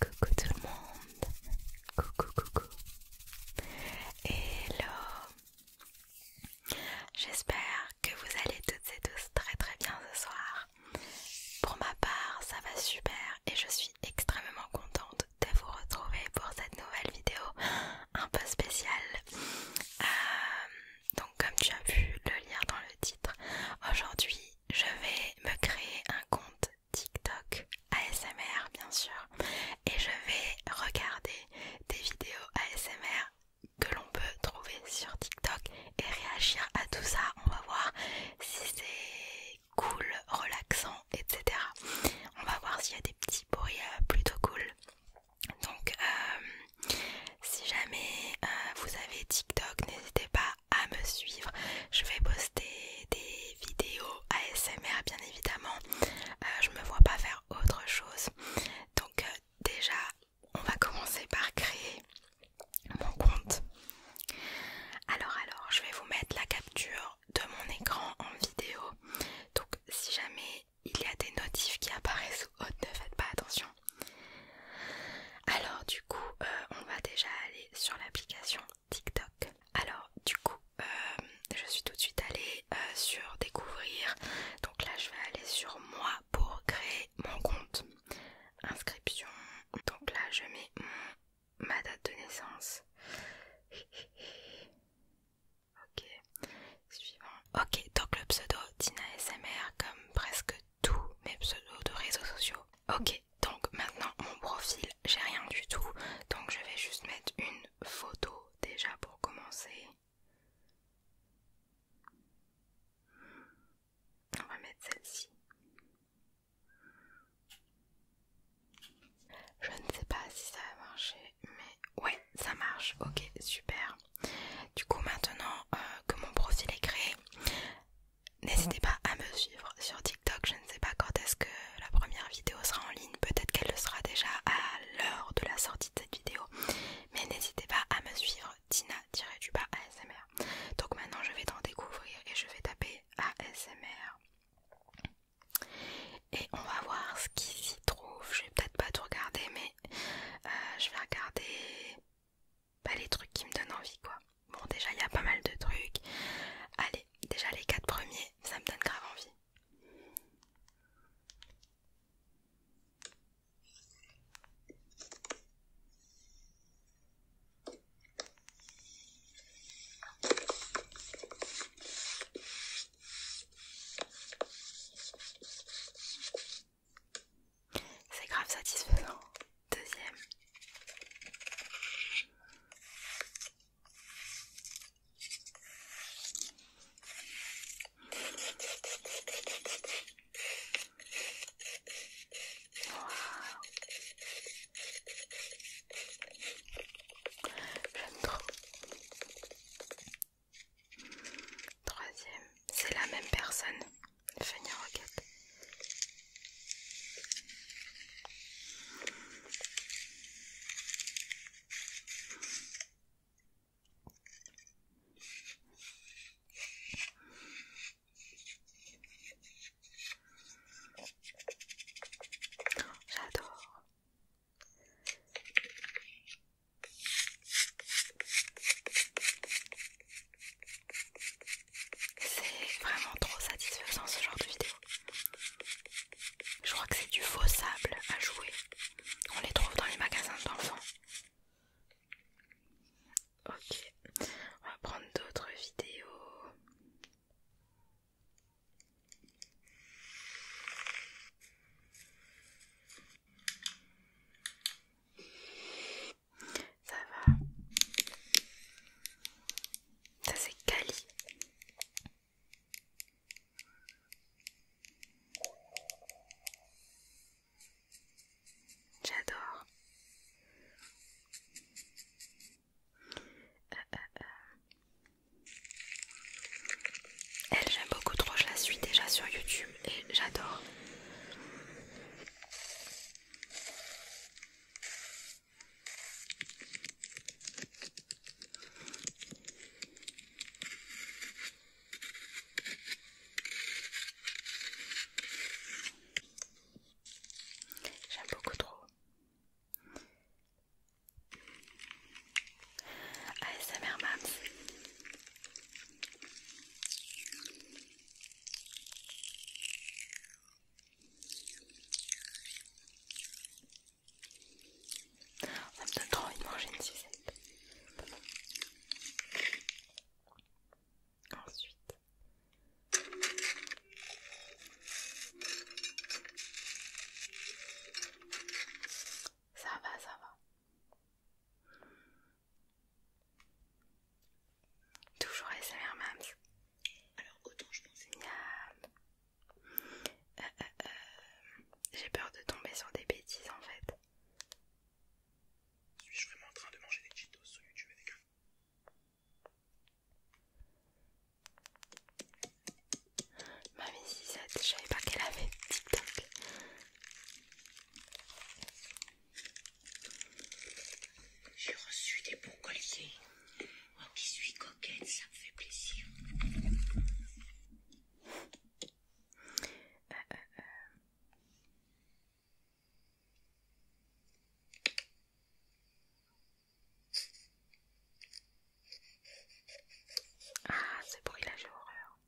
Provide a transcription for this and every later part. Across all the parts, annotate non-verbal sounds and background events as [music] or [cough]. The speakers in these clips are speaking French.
Coucou tout le monde, coucou coucou, hello, j'espère que vous allez toutes et tous très très bien ce soir. Pour ma part ça va super et je suis extrêmement contente de vous retrouver pour cette nouvelle vidéo un peu spéciale. Euh, donc comme tu as vu le lire dans le titre, aujourd'hui je vais me créer un compte TikTok ASMR bien sûr et je vais regarder des vidéos ASMR que l'on peut trouver sur TikTok et réagir à tout ça. On va voir si c'est cool, relaxant, etc. On va voir s'il y a des petits bruits euh, plutôt cool. Donc euh, si jamais euh, vous avez TikTok, n'hésitez pas à me suivre. Je vais poster des vidéos ASMR, bien évidemment. Je euh, je me vois pas faire autre chose. Donc euh, déjà, on va commencer par créer mon compte. Alors alors, je vais vous mettre la capture de mon écran en vidéo. Donc si jamais il y a des notifs qui apparaissent ne faites pas attention. Alors du coup, euh, on va déjà aller sur l'application TikTok. Alors du coup, euh, je suis tout de suite allée euh, sur découvrir. Donc là, je vais aller sur moi pour créer mon compte. Inscription. Donc là, je mets ma date de naissance. [laughs] ok, suivant. Ok, donc le pseudo Tina SMR, comme presque tous mes pseudos de réseaux sociaux. Ok, donc maintenant mon profil, j'ai rien du tout, donc je vais juste mettre une photo déjà pour commencer. On va mettre celle-ci. Je ne sais pas si ça va marcher, mais ouais, ça marche. Ok, super. Du coup maintenant euh, que mon profil est créé, n'hésitez pas à me suivre sur TikTok. Je ne sais pas quand est-ce que la première vidéo sera en ligne, peut-être qu'elle le sera déjà à l'heure de la sortie de cette vidéo. Mais n'hésitez pas à me suivre tina ASMR. Donc maintenant je vais t'en découvrir et je vais taper ASMR. Et on va voir ce qui s'y trouve. Je vais peut-être pas tout regarder, mais euh, je vais regarder pas les trucs qui me donnent envie quoi. Bon déjà il y a pas mal de trucs. Allez, déjà les quatre premiers, ça me donne grave envie. C'est grave satisfaisant. Deuxième. Troisième, c'est la même personne. Funny Roquette. J'adore. C'est vraiment trop satisfaisant ce genre de vidéo. Je crois que c'est du faux sable à jouer. On les trouve dans les magasins d'enfants. Ok, on va prendre d'autres vidéos. Ça va. Ça c'est Cali. J'adore. Euh, euh, euh. Elle j'aime beaucoup trop, je la suis déjà sur YouTube et j'adore. J'aime beaucoup trop. mère Mams. Ça me donne trop envie de manger une tisane. Ensuite. Ça va, ça va. Toujours SMR Mams. Alors autant je pensais. Euh, euh, euh, J'ai peur de tomber sur des bêtises en fait. Suis-je vraiment en train de manger des Cheetos sur YouTube avec eux Mamie 67, je savais pas qu'elle avait TikTok. J'ai reçu des bons colliers. Moi qui suis coquette, ça me fait plaisir. Euh, euh, euh. Ah, ce bruit horreur.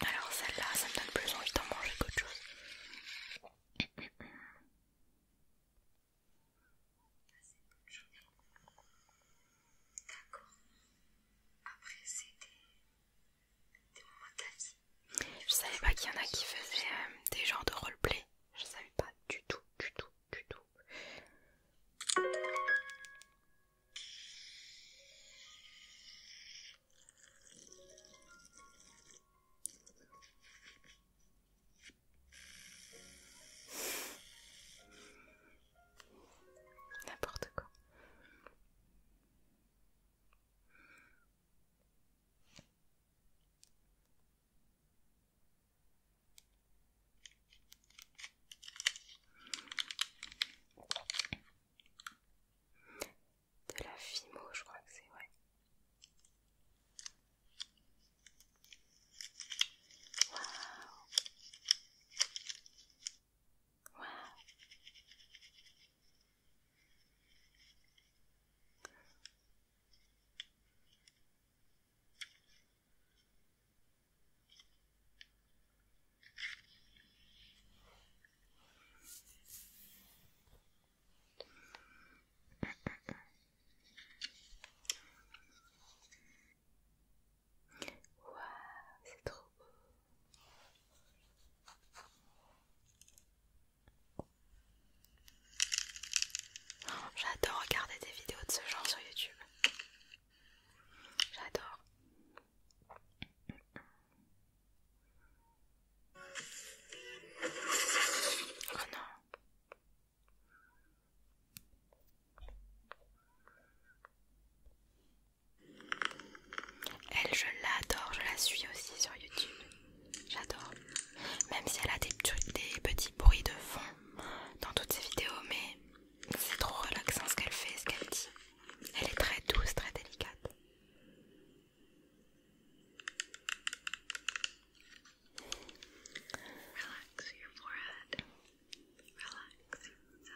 Alors celle-là, ça me donne plus envie d'en manger qu'autre chose. D'accord. Après c'était... Je savais pas qu'il y en a qui faisaient euh, des genres de roleplay. Je savais pas du tout, du tout, du tout. N'importe quoi. De la Fimo, je crois que c'est vrai. Ouais. Waouh, c'est trop beau. J'adore regarder des vidéos de ce genre sur YouTube. J'adore. Oh non. Elle, je l'adore, je la suis aussi sur YouTube. J'adore. Même si elle a des, petits bruits de fond dans toutes ses vidéos, mais c'est trop relaxant ce qu'elle fait, ce qu'elle dit. Elle est très douce, très délicate. Relax your forehead. Relax. So.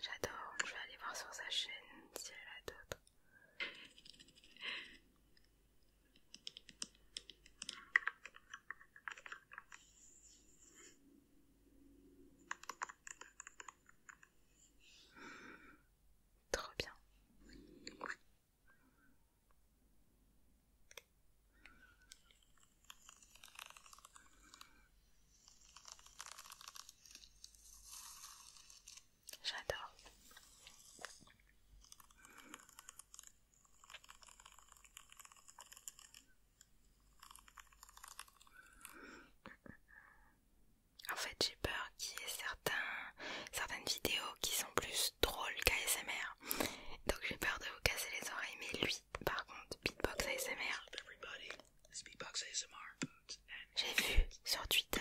J'adore, je vais aller voir sur sa chaîne si elle a d'autres. Trop bien. J'adore. En fait, j'ai peur qu'il y ait certains, certaines vidéos qui sont plus drôles qu'ASMR. Donc j'ai peur de vous casser les oreilles, mais lui, par contre, beatbox ASMR. J'ai vu sur Twitter.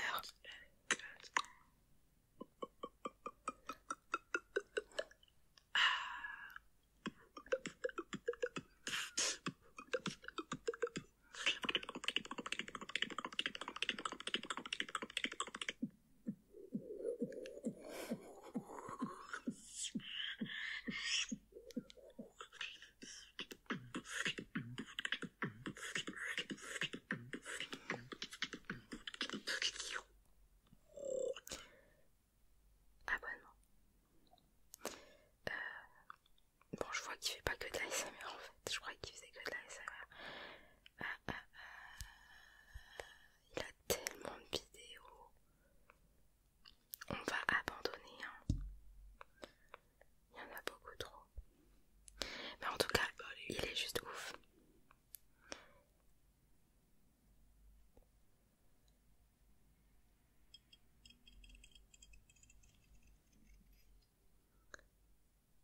Ah. Abonnement. Euh, bon, je vois qu'il fait pas que de la en fait. Je croyais qu'il faisait que de la il a tellement de vidéos. On va abandonner. Hein. Il y en a beaucoup trop. Mais en tout cas, il est juste ouf.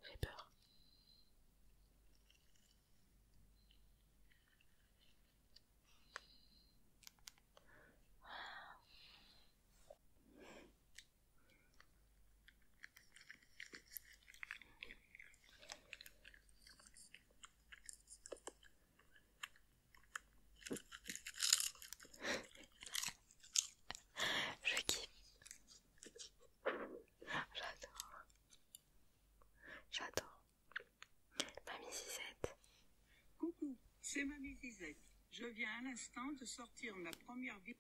J'ai peur. Je kiffe. J'adore. J'adore. Mamie Zizette. Coucou, c'est Mamie Zizette. Je viens à l'instant de sortir ma première vidéo.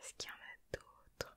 Est-ce qu'il y en a d'autres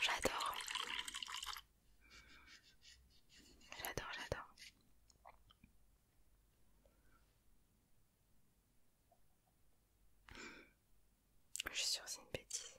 J'adore. J'adore, j'adore. Je suis sûre une bêtise.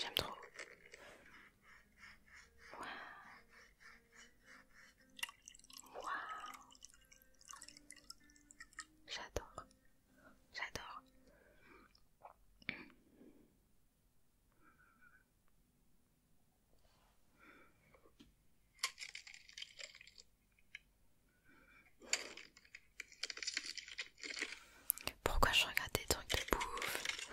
J'aime trop. Waouh. Waouh. J'adore. J'adore. Pourquoi je regarde des trucs de bouffe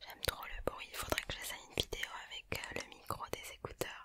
J'aime trop le bruit, il faudrait que j'essaye une vidéo avec euh, le micro des écouteurs.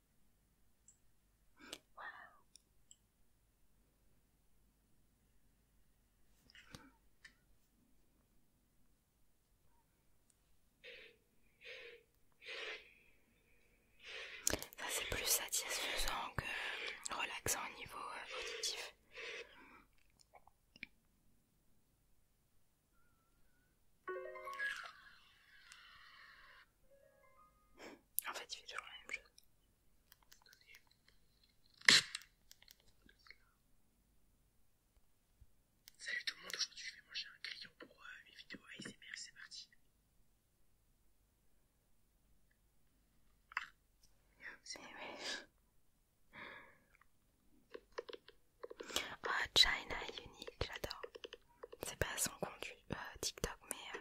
Ça c'est plus satisfaisant que relaxant au niveau euh, auditif. En fait, il fait toujours la même chose. Salut tout le monde, aujourd'hui je vais manger un crayon pour mes euh, vidéos ASMR, c'est parti. Oh, Ah, China Unique, j'adore. C'est pas son compte euh, TikTok, mais euh,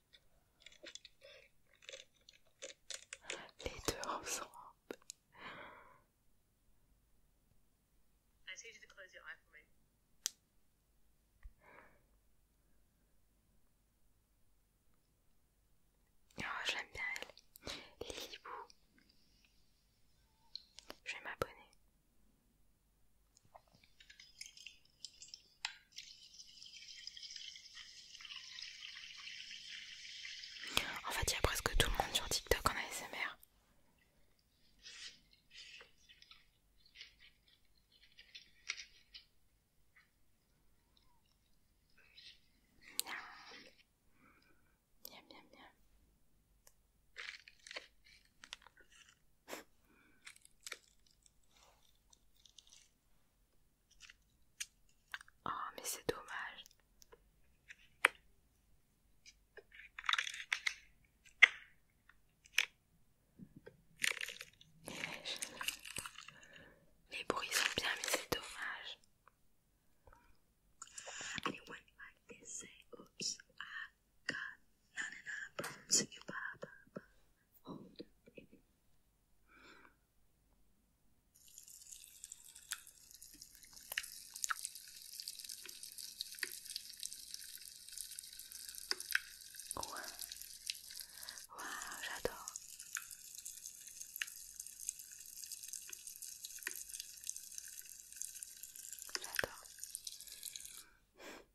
Les deux ensemble. I to close your eye for me. Oh, j'aime bien elle. Lilibou. Je vais m'abonner. En fait, il y a presque tout le monde sur TikTok en ASMR. Bien, bien, Oh, mais c'est dommage. Les bruits sont bien, mais c'est dommage. Eh? E Ouais. Waouh, j'adore. J'adore.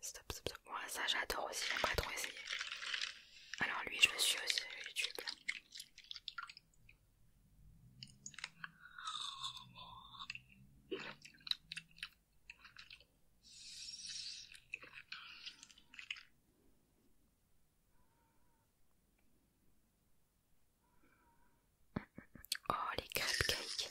stop, stop, stop. Moi, ça, j'adore aussi, j'aimerais trop essayer. Alors, lui, je me suis aussi YouTube. Oh les cupcakes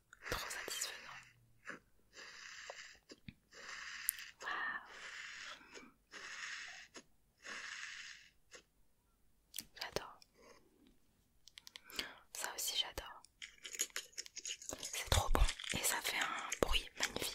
Trop satisfaisant. J'adore. Ça aussi j'adore. C'est trop bon et ça fait un bruit magnifique.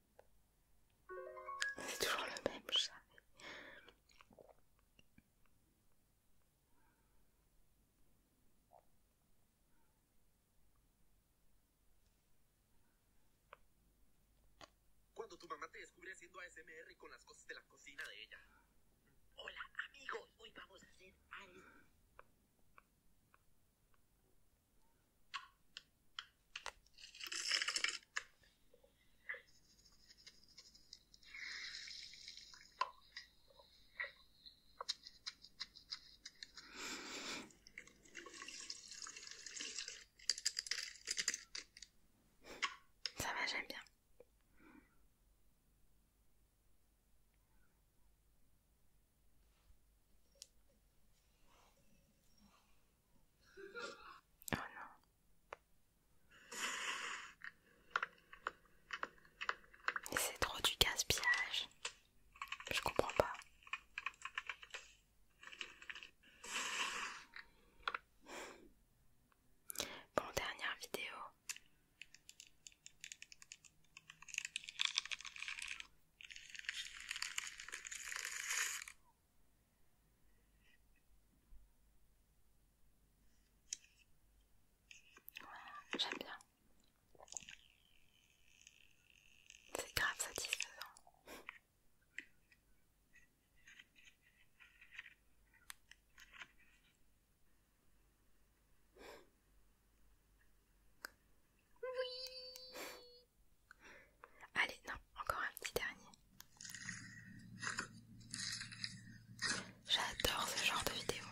Cuando tu mamá te descubre haciendo ASMR con las cosas de la cocina de ella. Hola amigos, hoy vamos a hacer algo. Ça va, j'aime bien c'est trop du gaspillage. Je comprends pas. Bon, dernière vidéo. J'aime bien. C'est grave satisfaisant. Oui Allez, non, encore un petit dernier. J'adore ce genre de vidéo.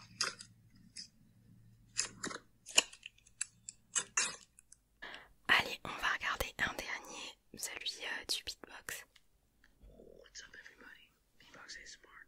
Allez, on va regarder un dernier, celui euh, du beatbox. What's smart.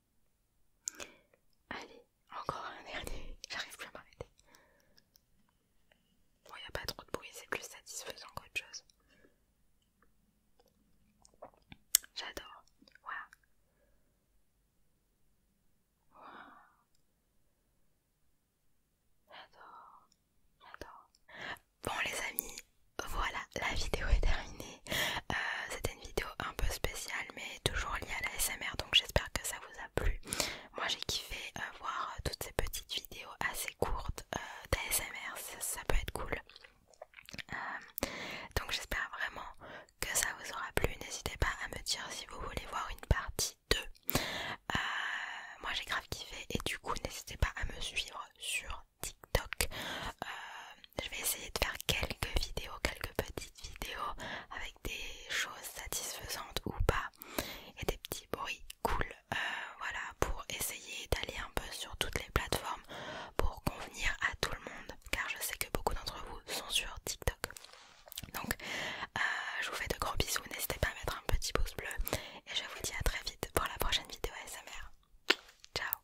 Allez, encore un dernier. [laughs] J'arrive plus à m'arrêter. Bon, il n'y a pas trop de bruit, c'est plus satisfaisant qu'autre chose. J'adore. Waouh. Waouh. J'adore. J'adore. Bon les amis, voilà, la vidéo est terminée. Euh, c'était une vidéo un peu spéciale mais toujours liée à la SMR donc j'espère que ça vous a plu. Moi j'ai kiffé euh, voir euh, toutes ces petites vidéos assez courtes d'ASMR, ça, peut être cool. donc j'espère vraiment que ça vous aura plu. N'hésitez pas à me dire si vous voulez voir une partie 2. moi j'ai grave kiffé et du coup n'hésitez pas à me suivre sur TikTok. je vais essayer de faire quelques vidéos, quelques petites vidéo avec des choses satisfaisantes ou pas et des petits bruits cool euh, voilà pour essayer d'aller un peu sur toutes les plateformes pour convenir à tout le monde car je sais que beaucoup d'entre vous sont sur TikTok donc euh, je vous fais de gros bisous n'hésitez pas à mettre un petit pouce bleu et je vous dis à très vite pour la prochaine vidéo ASMR ciao